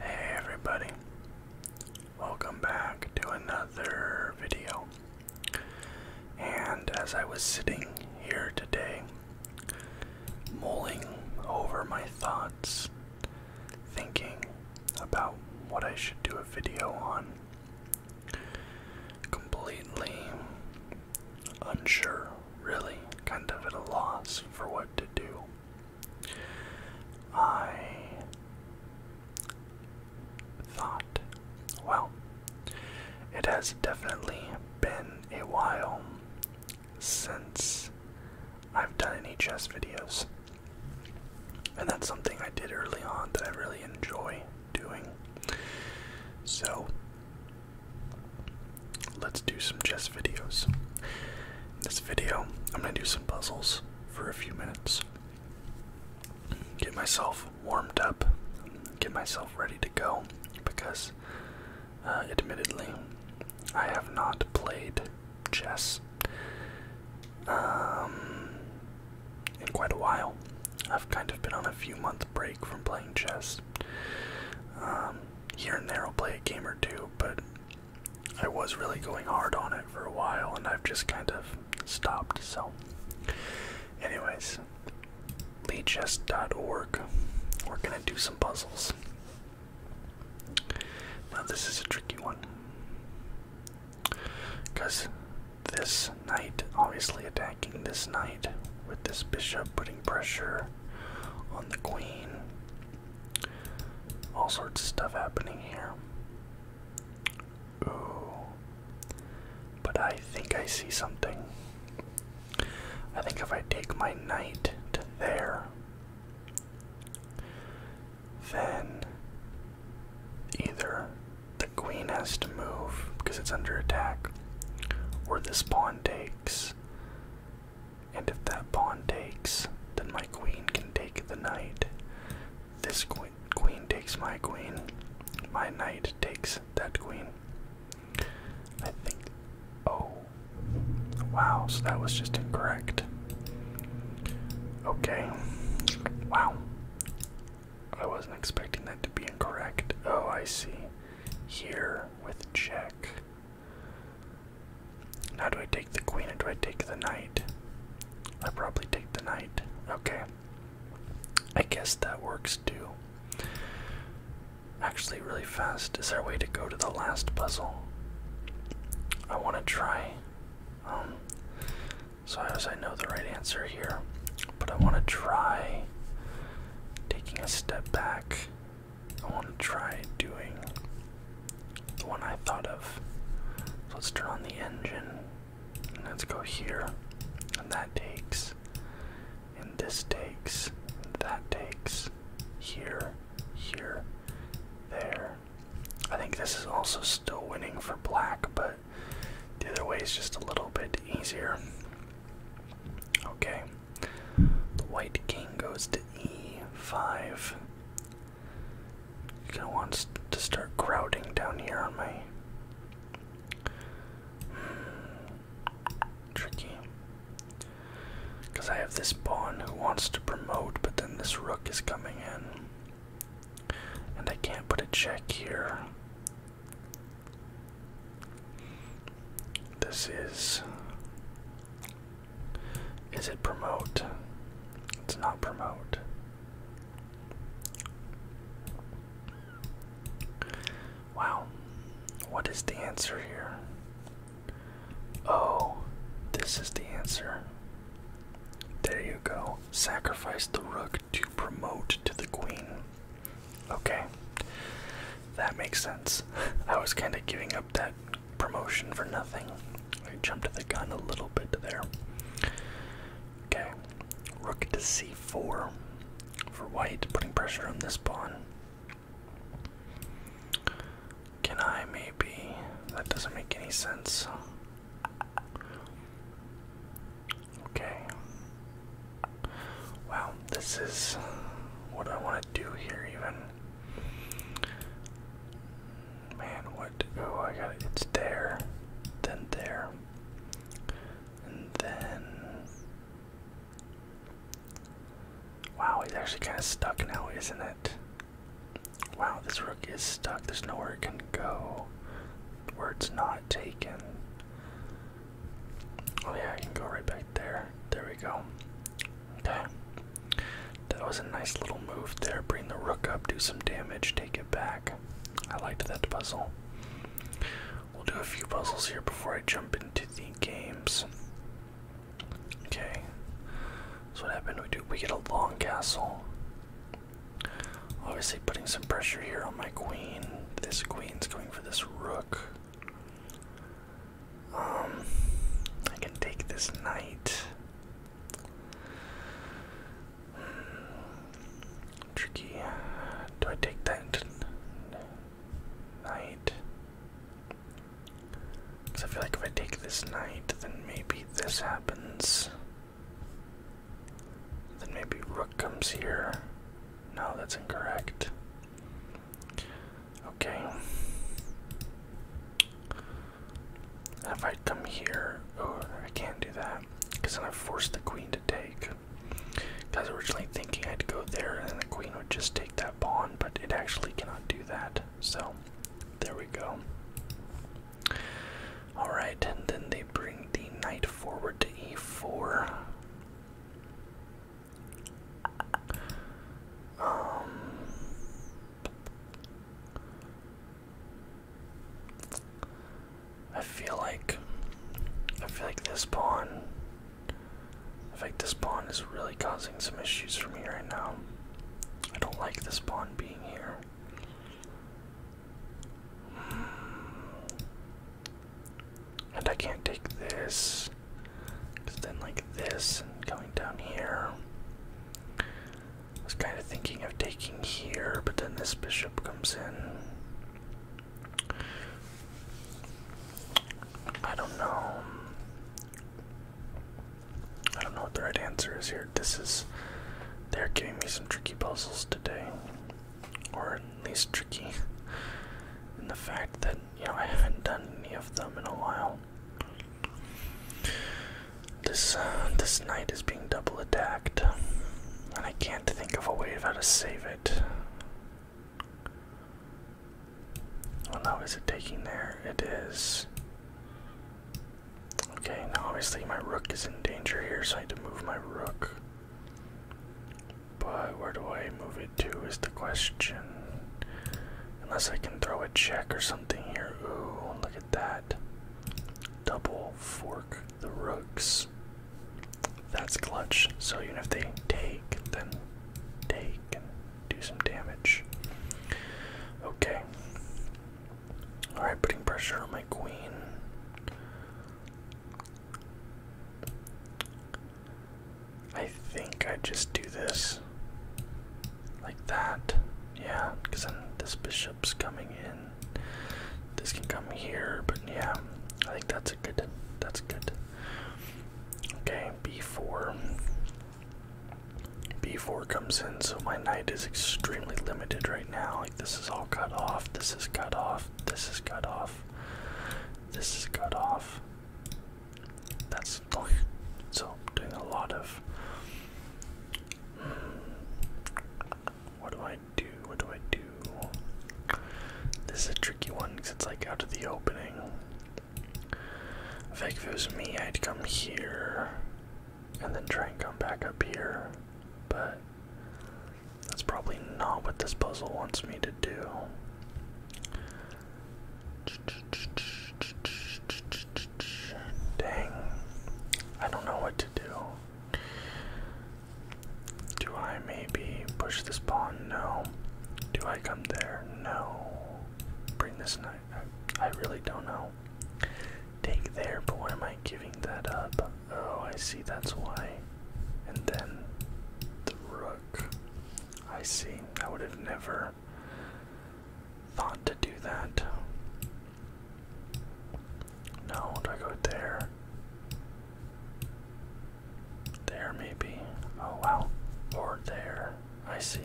Hey everybody, welcome back to another video. And as I was sitting here today, mulling over my thoughts, thinking about what I should do a video on, completely unsure, really, kind of at a loss for what to do. I thought, well, it has definitely been a while since I've done any chess videos. And that's something I did early on that I really enjoy doing. So, let's do some chess videos this video, I'm gonna do some puzzles for a few minutes. Get myself warmed up, get myself ready to go, because uh, admittedly, I have not played chess um, in quite a while. I've kind of been on a few month break from playing chess. Um, here and there, I'll play a game or two, but I was really going hard on it for a while, and I've just kind of stopped. So, anyways, leechest.org. We're gonna do some puzzles. Now, this is a tricky one because this knight, obviously attacking this knight with this bishop, putting pressure on the queen. All sorts of stuff happening here. Ooh. But I think I see something. I think if I take my knight to there, then either the queen has to move because it's under attack, or this pawn takes. And if that pawn takes, then my queen can take the knight. This queen, takes my queen. My knight takes that queen. I think. Oh. Wow, so that was just incorrect. Okay. Wow. I wasn't expecting that to be incorrect. Oh, I see. Here with check. Now do I take the queen or do I take the knight? I probably take the knight. Okay. I guess that works too. Actually, really fast. Is there a way to go to the last puzzle? I want to try. Um, so as I know the right answer here, but I want to try taking a step back. I want to try doing the one I thought of. let's turn on the engine. And let's go here. And that takes. And this takes. And that takes. Here. Here. There. I think this is also still winning for black, but the other way is just a little bit easier. Okay. The white king goes to e5. Kind of wants to start crowding down here on my. Hmm, tricky. Because I have this pawn who wants to promote, but then this rook is coming in. And I can't put a check here. This is is it promote? It's not promote. Wow. What is the answer here? Oh, this is the answer. There you go. Sacrifice the rook to promote to the queen. Okay. That makes sense. I was kind of giving up that promotion for nothing. I jumped the gun a little bit there. Okay, rook to c4 for white, putting pressure on this pawn. Can I maybe? That doesn't make any sense. Okay. Wow, this is what I want to do here, even. Man, what? Oh, I got it. It's there, then there, and then. Wow, he's actually kind of stuck now, isn't it? Wow, this rook is stuck. There's nowhere it can go. Where it's not taken. Oh, yeah, I can go right back there. There we go. Okay. That was a nice little move there. Bring the rook up, do some damage, take it back. I liked that puzzle. We'll do a few puzzles here before I jump into the games. Okay. So what happened? We do we get a long castle. Obviously putting some pressure here on my queen. This queen's going for this rook. Um I can take this knight. Tricky. Do I take that night? Because I feel like if I take this night, then maybe this happens. Then maybe rook comes here. No, that's incorrect. Okay. If I come here, oh, I can't do that because then I forced the queen to take. Because originally thinking I'd go there and the queen would just take that pawn, but it actually cannot do that. So there we go. Alright, and then they bring the knight forward to e4. Um, I feel like I feel like this pawn I feel like this pawn is really causing some issues for me right now. I don't like this pawn being here. Hmm. And I can't take this. Cause then like this and going down here. I was kind of thinking of taking here, but then this bishop comes in. I don't know. I don't know what the right answer is here. This is. They're giving me some tricky puzzles today. Or at least tricky in the fact that, you know, I haven't done any of them in a while. This uh, this knight is being double attacked, and I can't think of a way of how to save it. Well, now is it taking there? It is. Okay, now obviously my rook is in danger here, so I need to move my rook. But where do I move it to is the question. Unless I can throw a check or something here. Ooh, look that. Double fork the rooks. That's clutch. So even if they take, then take and do some damage. Okay. Alright, putting pressure on my queen. I think I just do this like that. Yeah, because then this bishop's coming in. This can come here, but yeah, I think that's a good. That's good. Okay, b4. b4 comes in, so my knight is extremely limited right now. Like, this is all cut off, this is cut off, this is cut off, this is cut off. That's oh, so, doing a lot of what do I do? What do I do? This is a tricky one because it's like out of the opening. if it was me, I'd come here and then try and come back up here, but that's probably not what this puzzle wants me to do. Dang. I don't know what to do. Do I maybe push this pawn? No. Do I come there? No. Bring this knight. I, really don't know. Take there, but why am I giving that up? Oh, I see, that's why. And then the rook. I see. I would have never thought to do that. No, do I go there? There, maybe. Oh, wow. Or there. I see.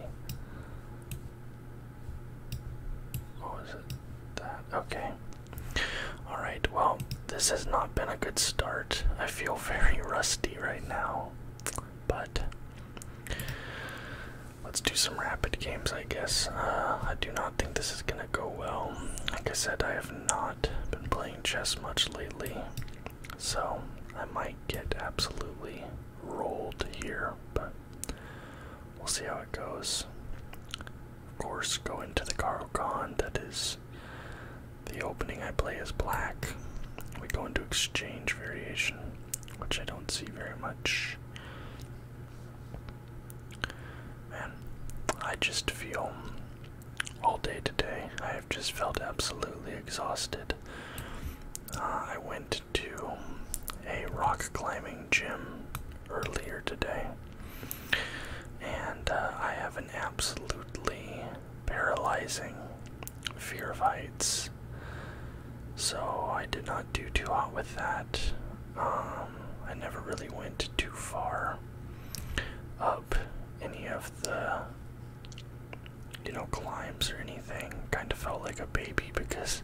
What was it? That. Okay. Alright, well, this has not been a good start. I feel very rusty right now. But Let's do some rapid games, I guess. Uh, I do not think this is gonna go well. Like I said, I have not been playing chess much lately, so I might get absolutely rolled here, but we'll see how it goes. Of course, go into the Karo Khan, that is the opening I play is black. We go into exchange variation, which I don't see very much. Man, I just feel all day today. I have just felt absolutely exhausted. Uh, I went to a rock climbing gym earlier today, and uh, I have an absolutely paralyzing fear of heights. So I did not do too hot with that. Um, I never really went too far up any of the you know climbs or anything. Kind of felt like a baby because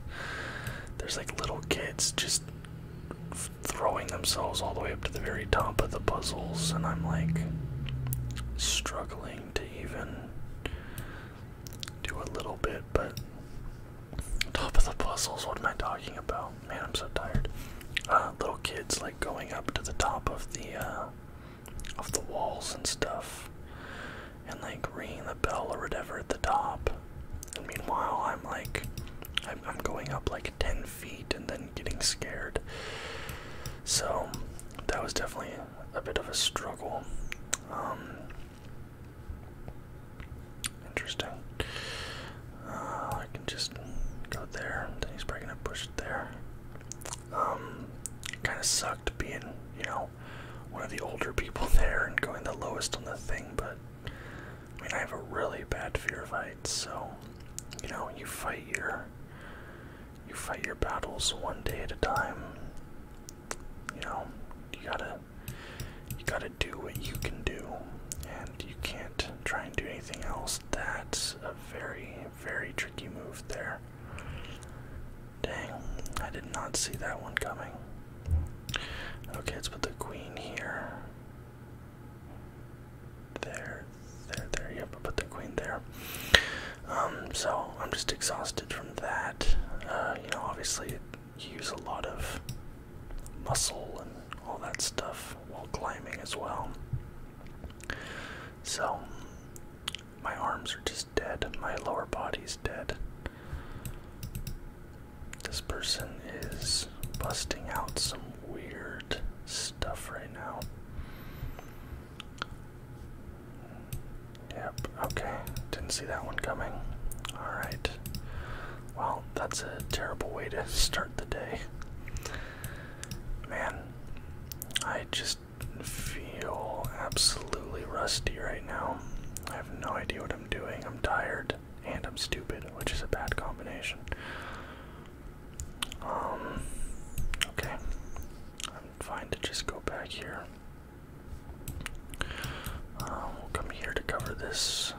there's like little kids just throwing themselves all the way up to the very top of the puzzles, and I'm like struggling to even do a little bit, but top of the puzzles, what am I talking about? Man, I'm so tired. Uh, little kids like going up to the top of the uh, of the walls and stuff, and like ringing the bell or whatever at the top. meanwhile, I'm like, I'm, going up like ten feet and then getting scared. So that was definitely a bit of a struggle. Um, Interesting. Uh, I can just go there. Then he's probably gonna push it there. Um, kind of sucked being, you know, one of the older people there and going the lowest on the thing. But I mean, I have a really bad fear of heights, so you know, you fight your you fight your battles one day at a time. You know, you gotta you gotta do what you can do, and you can't try and do anything else. That's a very, very tricky move there. Dang, I did not see that one coming. Okay, let's put the queen here. There, there, there. Yep, put the queen there. Um, so I'm just exhausted from that. Uh, you know, obviously use a lot of muscle and all that stuff while climbing as well. So, my arms are just dead, my lower body's dead. This person is busting out some weird stuff right now. Yep, okay. Didn't see that one coming. Alright. Well, that's a terrible way to start the day. Man, I just feel absolutely rusty right now. I have no idea what I'm doing. I'm tired and I'm stupid, which is a bad combination. Um, okay. I'm fine to just go back here. Uh, we'll come here to cover this.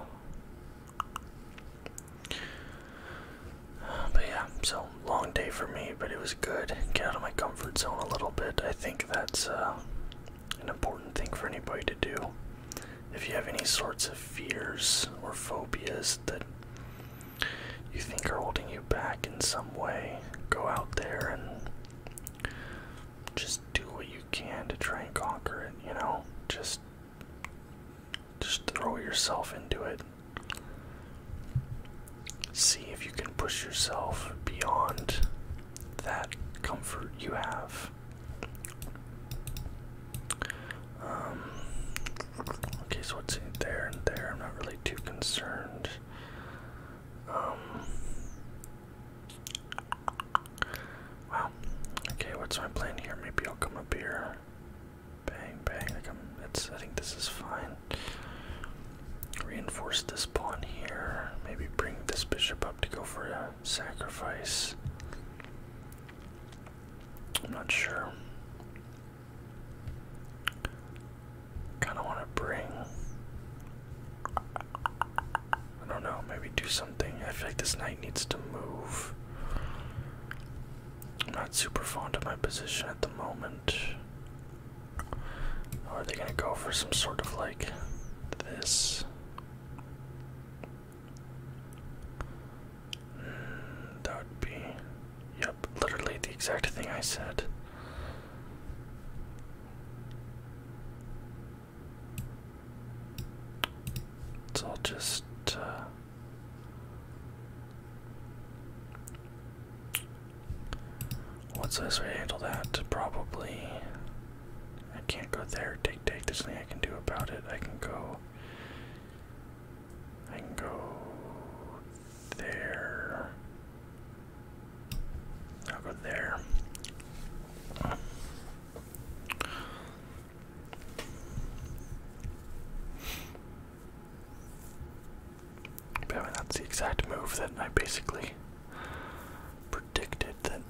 but yeah, so long day for me, but it was good. Get out of my comfort zone a little bit. I think that's uh, an important thing for anybody to do. If you have any sorts of fears or phobias that you think are holding you back in some way, go out there and just do what you can to try and conquer it, you know? Just just throw yourself into it. See if you can push yourself beyond that comfort you have. Um, okay, so what's in there and there? I'm not really too concerned. Um, Wow. Okay, what's my plan here? Maybe I'll come up here. Bang, bang. i I think this is fine. Reinforce this pawn here. Maybe bring this bishop up to go for a sacrifice. I'm not sure. Kind of want to bring I don't know, maybe do something. I feel like this knight needs to move. I'm not super fond of my position at the moment. Oh, are they gonna go for some sort of like this? Hmm, that would be. Yep, literally the exact thing I said. So I'll just uh, what's this way handle that? Probably I can't go there. Take take. There's nothing I can do about it. I can go. I can go there. I'll go there. But that's the exact move that I basically predicted that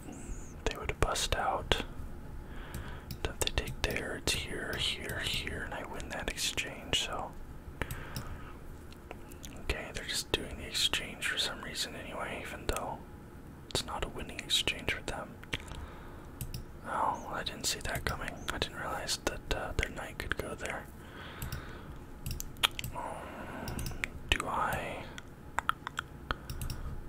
they would bust out. That they take there, it's here, here, here, and I win that exchange, so. Okay, they're just doing the exchange for some reason anyway, even though it's not a winning exchange for them. Oh, I didn't see that coming. I didn't realize that uh, their knight could go there. Um, do I?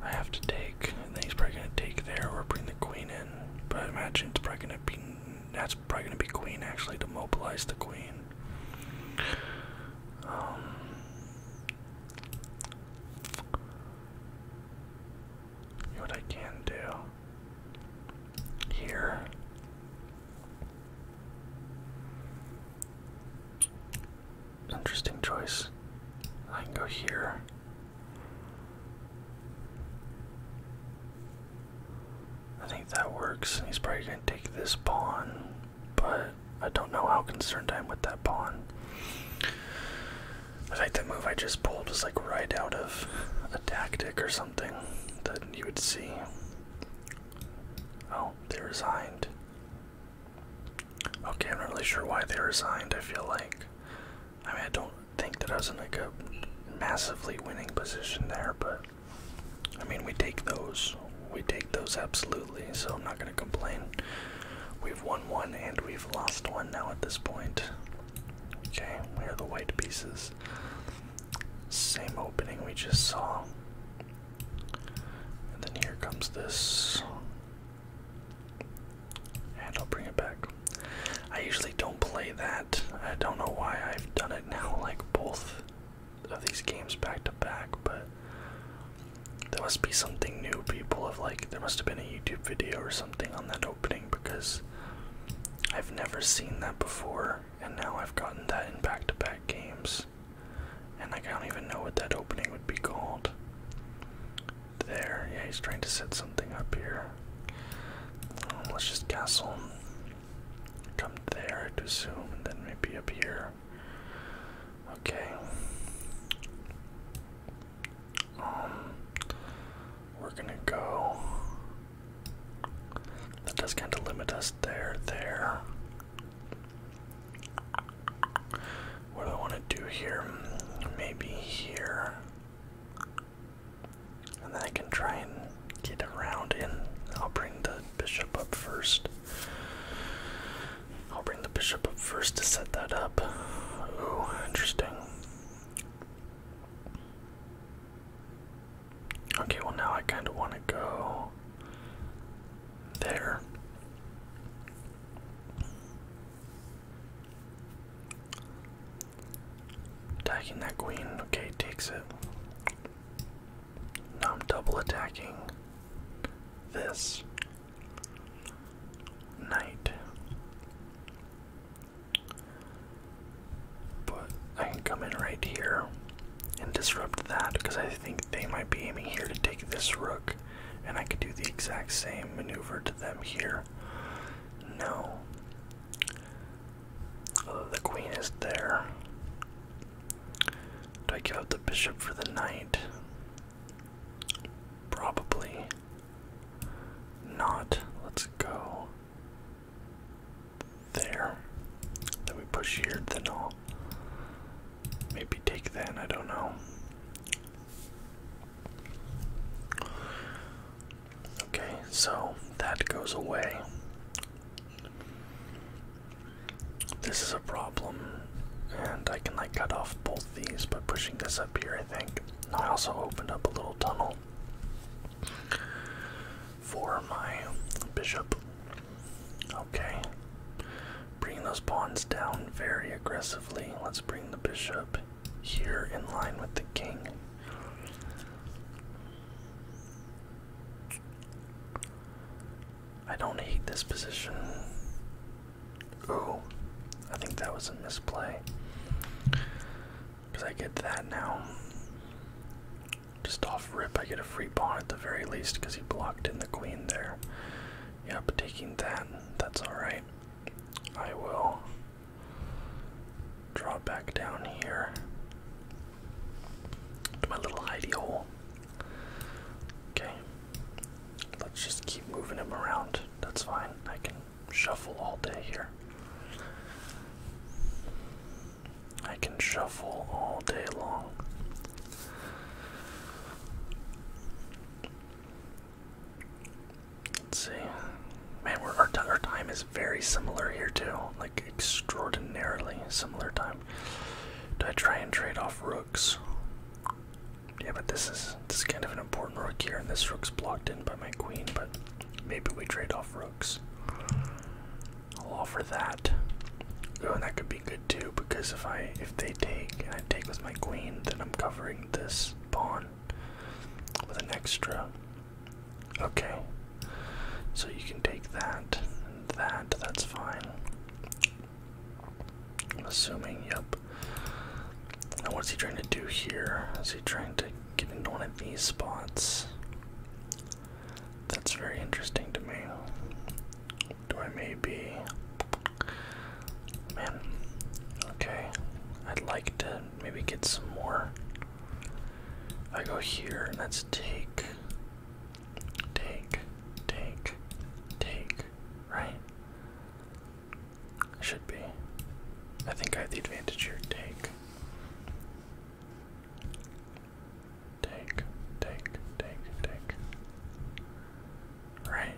I have to take. I think he's probably gonna take there or bring the queen in. But I imagine it's probably gonna be. That's probably gonna be queen actually to mobilize the queen. Um, what I can do here. Interesting choice. I can go here. I think that works. He's probably going to take this pawn, but I don't know how concerned I am with that pawn. I think that move I just pulled was like right out of a tactic or something that you would see. Oh, they resigned. Okay, I'm not really sure why they resigned, I feel like. I mean, I don't think that I was in like a massively winning position there, but I mean, we take those. We take those absolutely, so I'm not going to complain. We've won one and we've lost one now at this point. Okay, where are the white pieces? Same opening we just saw. And then here comes this. And I'll bring it back. I usually don't play that. I don't know why I've done it now, like both of these games back to back, but there must be something new people have like there must have been a YouTube video or something on that opening because I've never seen that before and now I've gotten that in back to back games. And I don't even know what that opening would be called. There, yeah, he's trying to set something up here. Um, let's just castle. Come there, I'd and then maybe up here. Okay. Um, we're gonna go. That does kind of limit us there, there. What do I want to do here? Maybe here. And then I can try and get around in. I'll bring the bishop up first. I'll bring the bishop up first to set that up. Oh, interesting. Okay, well, now I kind of want to go there. Attacking that queen, okay, takes it. Now I'm double attacking this night. But I can come in right here and disrupt that because I think they might be aiming here to take this rook, and I could do the exact same maneuver to them here. No. Oh, the queen is there. Take out the bishop for the knight? Probably not. Let's go there. Then we push here, then i maybe take then. I don't know. Okay, so that goes away. This is a problem. And I can like cut off both these by pushing this up here, I think. I also opened up a little tunnel for my bishop. Okay. Bringing those pawns down very aggressively. Let's bring the bishop here in line with the king. I don't hate this position. Oh, I think that was a misplay. Because I get that now. Just off rip, I get a free pawn at the very least because he blocked in the queen there. Yeah, but taking that, that's alright. I will draw back down here to my little hidey hole. Okay, Let's just keep moving him around. That's fine. I can shuffle all day here. I can shuffle all day long. Let's see. Man, we're, our, our time is very similar here, too. Like, extraordinarily similar time. Do I try and trade off rooks? Yeah, but this is this kind of an important rook here, and this rook's blocked in by my queen, but maybe we trade off rooks. I'll offer that. Oh, and that could be good too, because if I if they take and I take with my queen, then I'm covering this pawn with an extra. Okay. So you can take that and that, that's fine. I'm assuming, yep. Now, what's he trying to do here? Is he trying to get into one of these spots? That's very interesting to me. Do I maybe. Man, okay. I'd like to maybe get some more. I go here, and that's take, take, take, take, right? Should be. I think I have the advantage here. Take. Take, take, take, Right.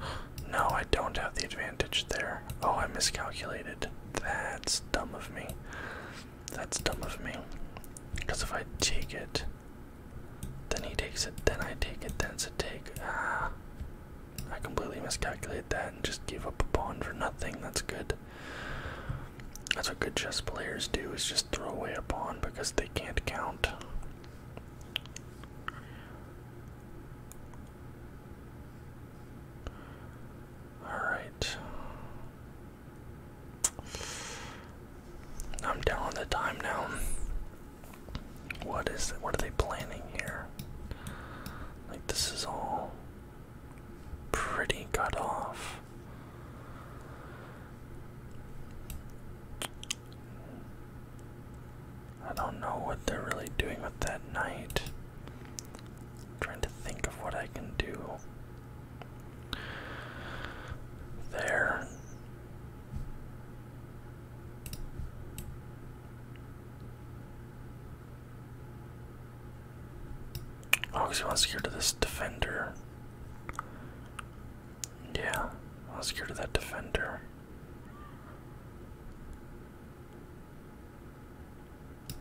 No, I don't have the advantage there. Oh, I miscalculated. That's dumb of me. That's dumb of me. Because if I take it, then he takes it, then I take it, then it's a take. Ah. I completely miscalculate that and just give up a pawn for nothing. That's good. That's what good chess players do is just throw away a pawn because they can't count. Alright. I'm down the time now. What is it? What are they planning here? Like this is all pretty cut off. I don't know what they're really doing with that night. trying to think of what I can do. There. Oh, because he wants to get to this defender. Yeah, let's get to that defender.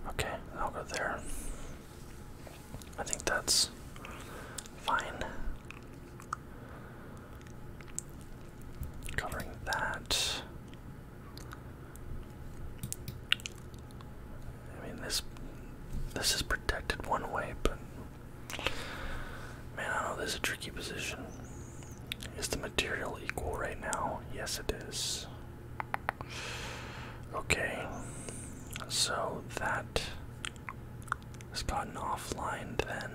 Okay, I'll go there. I think that's fine. Covering that. I mean this this is protected one way, but man, I know this is a tricky position. Is the material equal right now? Yes it is. Okay. So that has gotten offline then.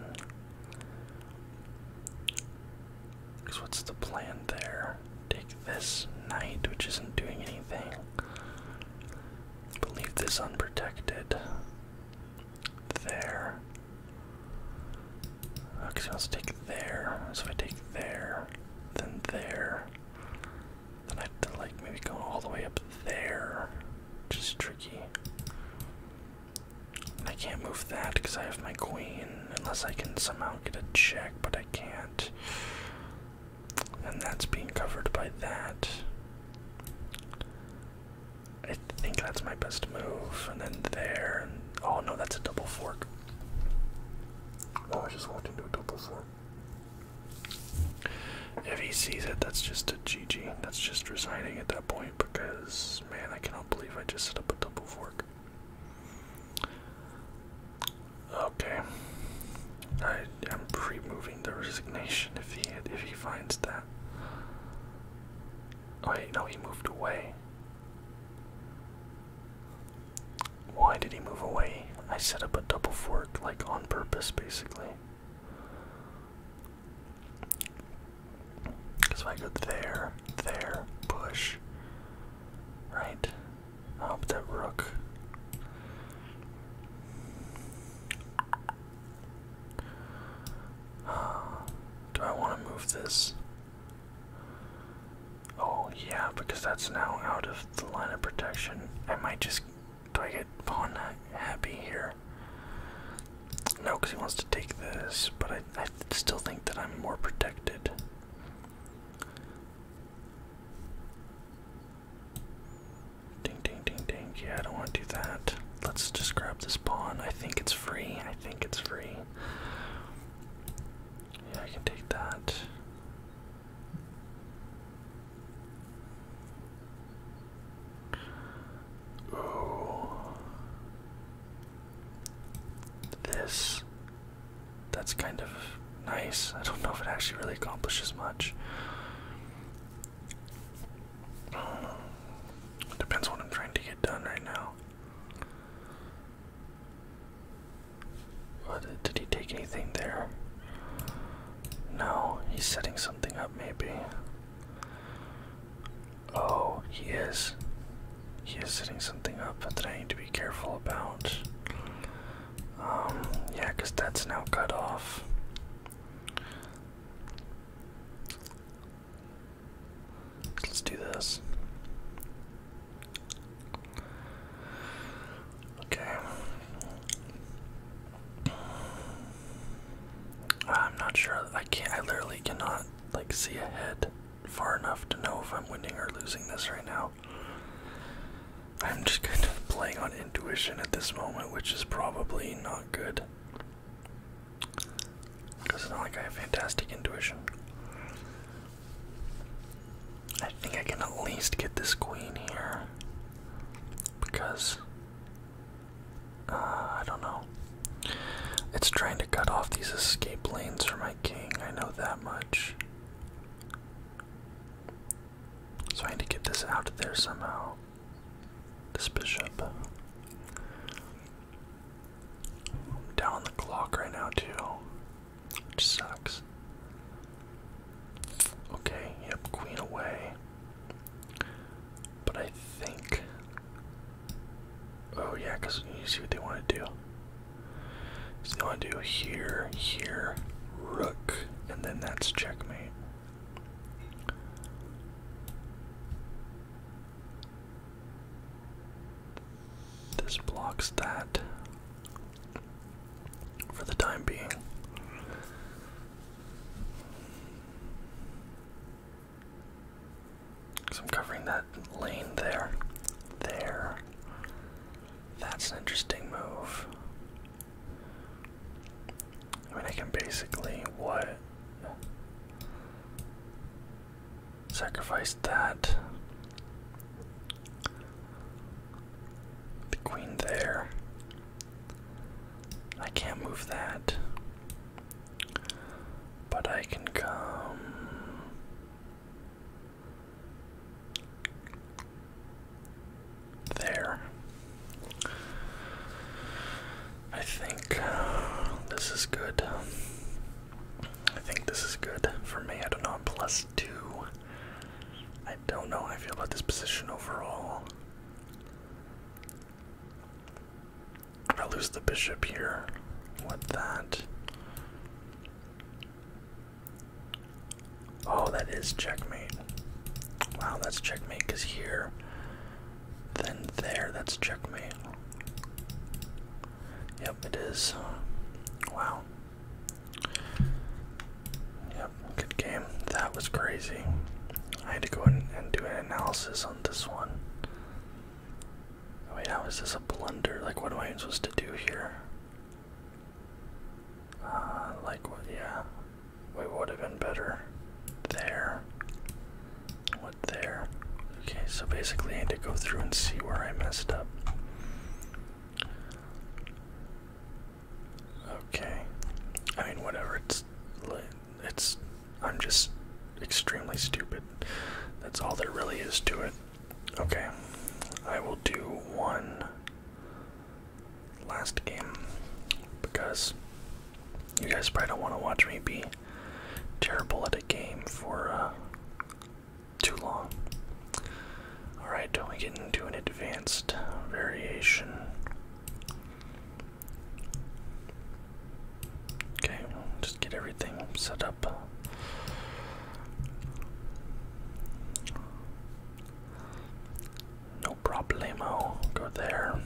Because what's the plan there? Take this knight, which isn't doing anything, but leave this unprotected. There. okay, so I'll take there. So if I take there, then there. Then I have to like maybe go all the way up there, which is tricky. I can't move that because I have my queen, unless I can somehow get a check, but I can't. And that's being covered by that. I think that's my best move. And then there. And, oh no, that's a double fork. Oh, I just walked into a double fork. If he sees it, that's just a GG. That's just resigning at that point because Man, I cannot believe I just set up a double fork. Okay. I am removing the resignation if he if he finds that. Oh wait, no, he moved away. Why did he move away? I set up a double fork like on purpose basically. Because if I go there, there, push, right? Oh, that rook. Uh, do I want to move this? Oh, yeah, because that's now out of the line of protection. I might just. Do I get pawn happy here? No, because he wants to take this, but I, I still think that I'm more protected. Ding, ding, ding, ding. Yeah, I don't want to do that. Let's just grab this pawn. I think it's free. I think it's free. Yeah, I can take that. Ooh. This. That's kind of nice. I don't know if it actually really accomplishes much. depends what I'm trying to get done right now. What, did he take anything there? No, he's setting something up, maybe. Oh, he is. He is setting something up that I need to be careful about. Um, yeah, because that's now cut off. Let's do this. Okay. I'm not sure. I can't. I literally cannot like see ahead far enough to know if I'm winning or losing this right now. I'm just kind of playing on intuition at this moment, which is probably not good. Because it's not like I have fantastic intuition. I think I can at least get this queen here. Because uh, I don't know. It's trying to cut off these escape lanes for my king, I know that much. So I need to get this out of there somehow. This bishop. I'm down the clock right now, too. Which sucks. Okay, yep, queen away. But I think Oh yeah, because you see what they want to do. So they want to do here, here, rook, and then that's checkmate. This blocks that for the time being. Because I'm covering that lane there. There. That's an interesting move. I mean, I can basically what? Sacrifice that. The queen there. I can't move that. But I can come. There. I think uh, this is good. I think this is good for me. I don't know. I'm plus two. 2 i do not know how I feel about this position overall. I lose the bishop here What that. Oh, that is checkmate. Wow, that's checkmate because here, then there, that's checkmate. Yep, it is. Wow. Yep, good game. That was crazy. I had to go in and do an analysis on this one. Oh, wait, how is this a blunder? Like, what am I supposed to do here? Uh, like, what? Yeah. We would have been better there. What there? Okay, so basically, I need to go through and see where I messed up. Okay. I mean, whatever. It's lit it's I'm just extremely stupid. That's all there really is to it. Okay, I will do one last game because you guys probably don't want to watch me be terrible at a game for uh, too long. Alright, do we get into an advanced variation. Okay, we'll just get everything set up. No problemo. Go there.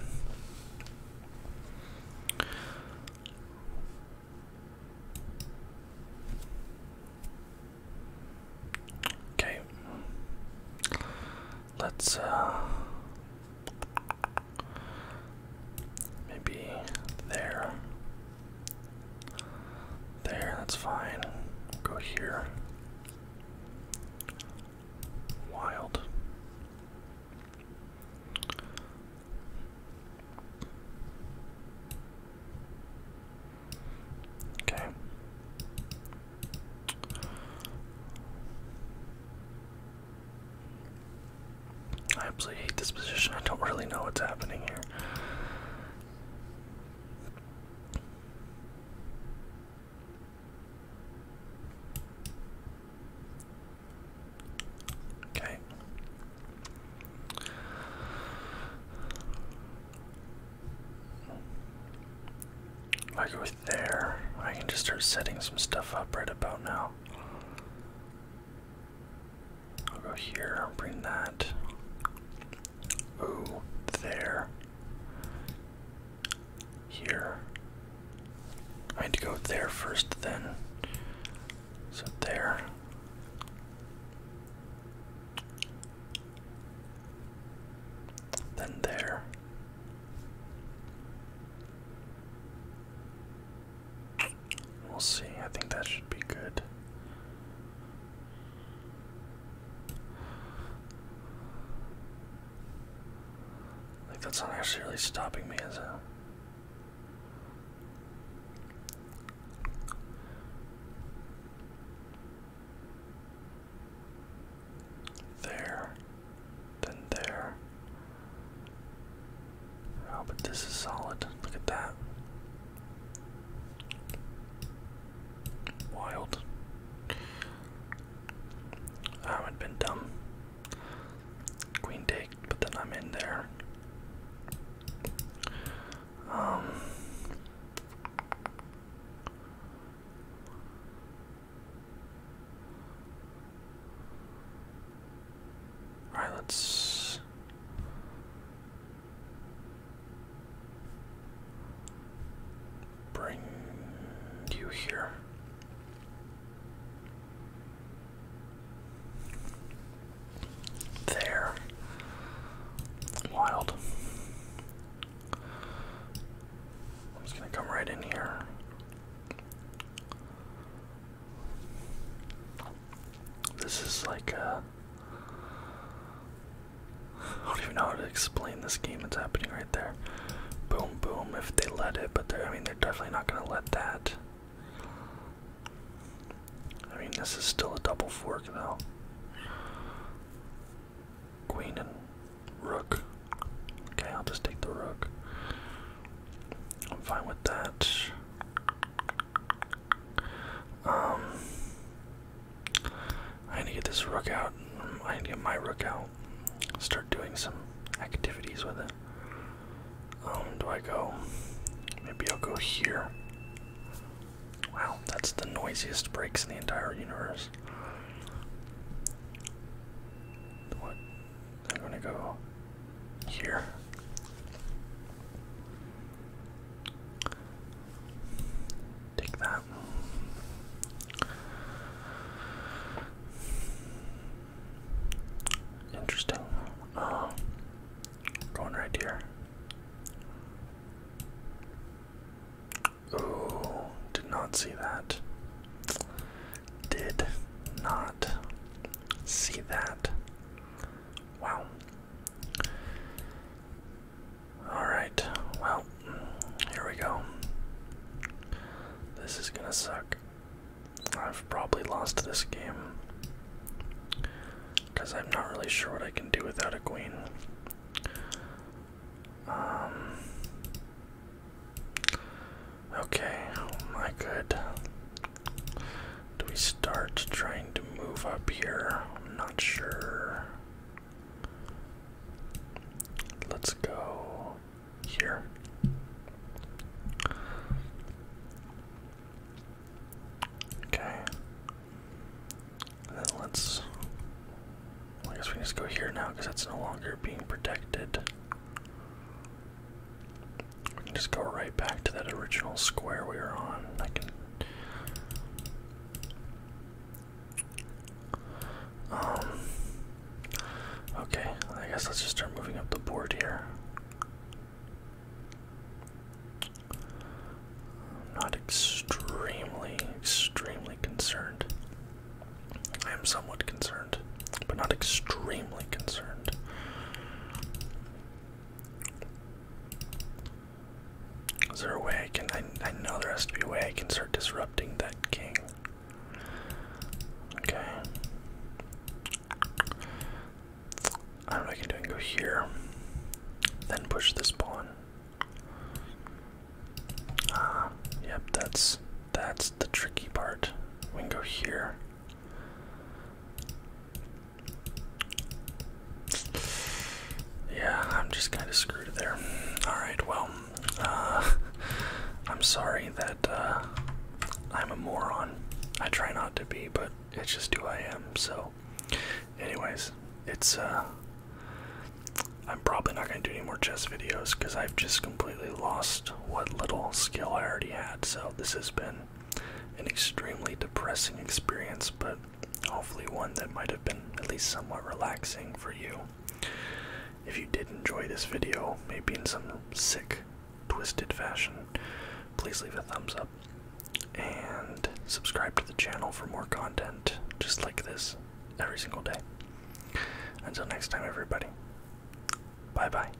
Okay. Let's uh Maybe there. There, that's fine. Go here. Wild. Okay. I absolutely hate this position. I don't really know what's happening here. Okay. If I go there, I can just start setting some stuff up right about now. I'll go here, I'll bring that. Ooh, there. Here. I need to go there first, then. So there. Then there. We'll see. I think that should be good. Like that's not actually really stopping me, is There, then there, Oh, but this is solid. Look at that. Wild. I would have been dumb. Queen take, but then I'm in there. Um. Alright, let's. Bring you here. There. Wild. I'm just going to come right in here. This is like a. Uh, I don't even know how to explain this game that's happening right there. Boom, boom, if they let it, but they I mean, they're definitely not gonna let that. I mean, this is still a double fork, though. Queen and rook. Okay, I'll just take the rook. I'm fine with that. Um, I need to get this rook out. I need to get my rook out. Start doing some activities with it. Um, do I go? Maybe I'll go here. Wow, that's the noisiest breaks in the entire universe. What? I'm gonna go here. Take that. Interesting. Uh, going right here. Oh, did not see that. Did not see that. Wow. Alright, well, here we go. This is gonna suck. I've probably lost this game. Because I'm not really sure what I can do without a queen. Um. Okay, Oh my could. Do we start trying to move up here? I'm not sure. Let's go here. Okay. then let's. I guess we just go here now because that's no longer being protected. We can just go right back to that original square we were on. I can. Um. Okay, I guess let's just start moving up the board here. I'm not extremely, extremely concerned. I am somewhat concerned but not extremely concerned. Is there a way I can? I, I know there has to be a way I can start disrupting that king. Okay. I don't know I can do. I go here, then push this pawn. Ah, yep, that's that's the tricky part. We can go here, yeah, I'm just kind of screwed there. Alright, well, uh, I'm sorry that uh, I'm a moron. I try not to be, but it's just who I am, so. Anyways, it's, uh, I'm probably not going to do any more chess videos because I've just completely lost what little skill I already had, so this has been an extremely depressing experience, but hopefully one that might have been at least somewhat relaxing for you. If you did enjoy this video, maybe in some sick, twisted fashion, please leave a thumbs up and subscribe to the channel for more content just like this every single day. Until next time, everybody. Bye bye.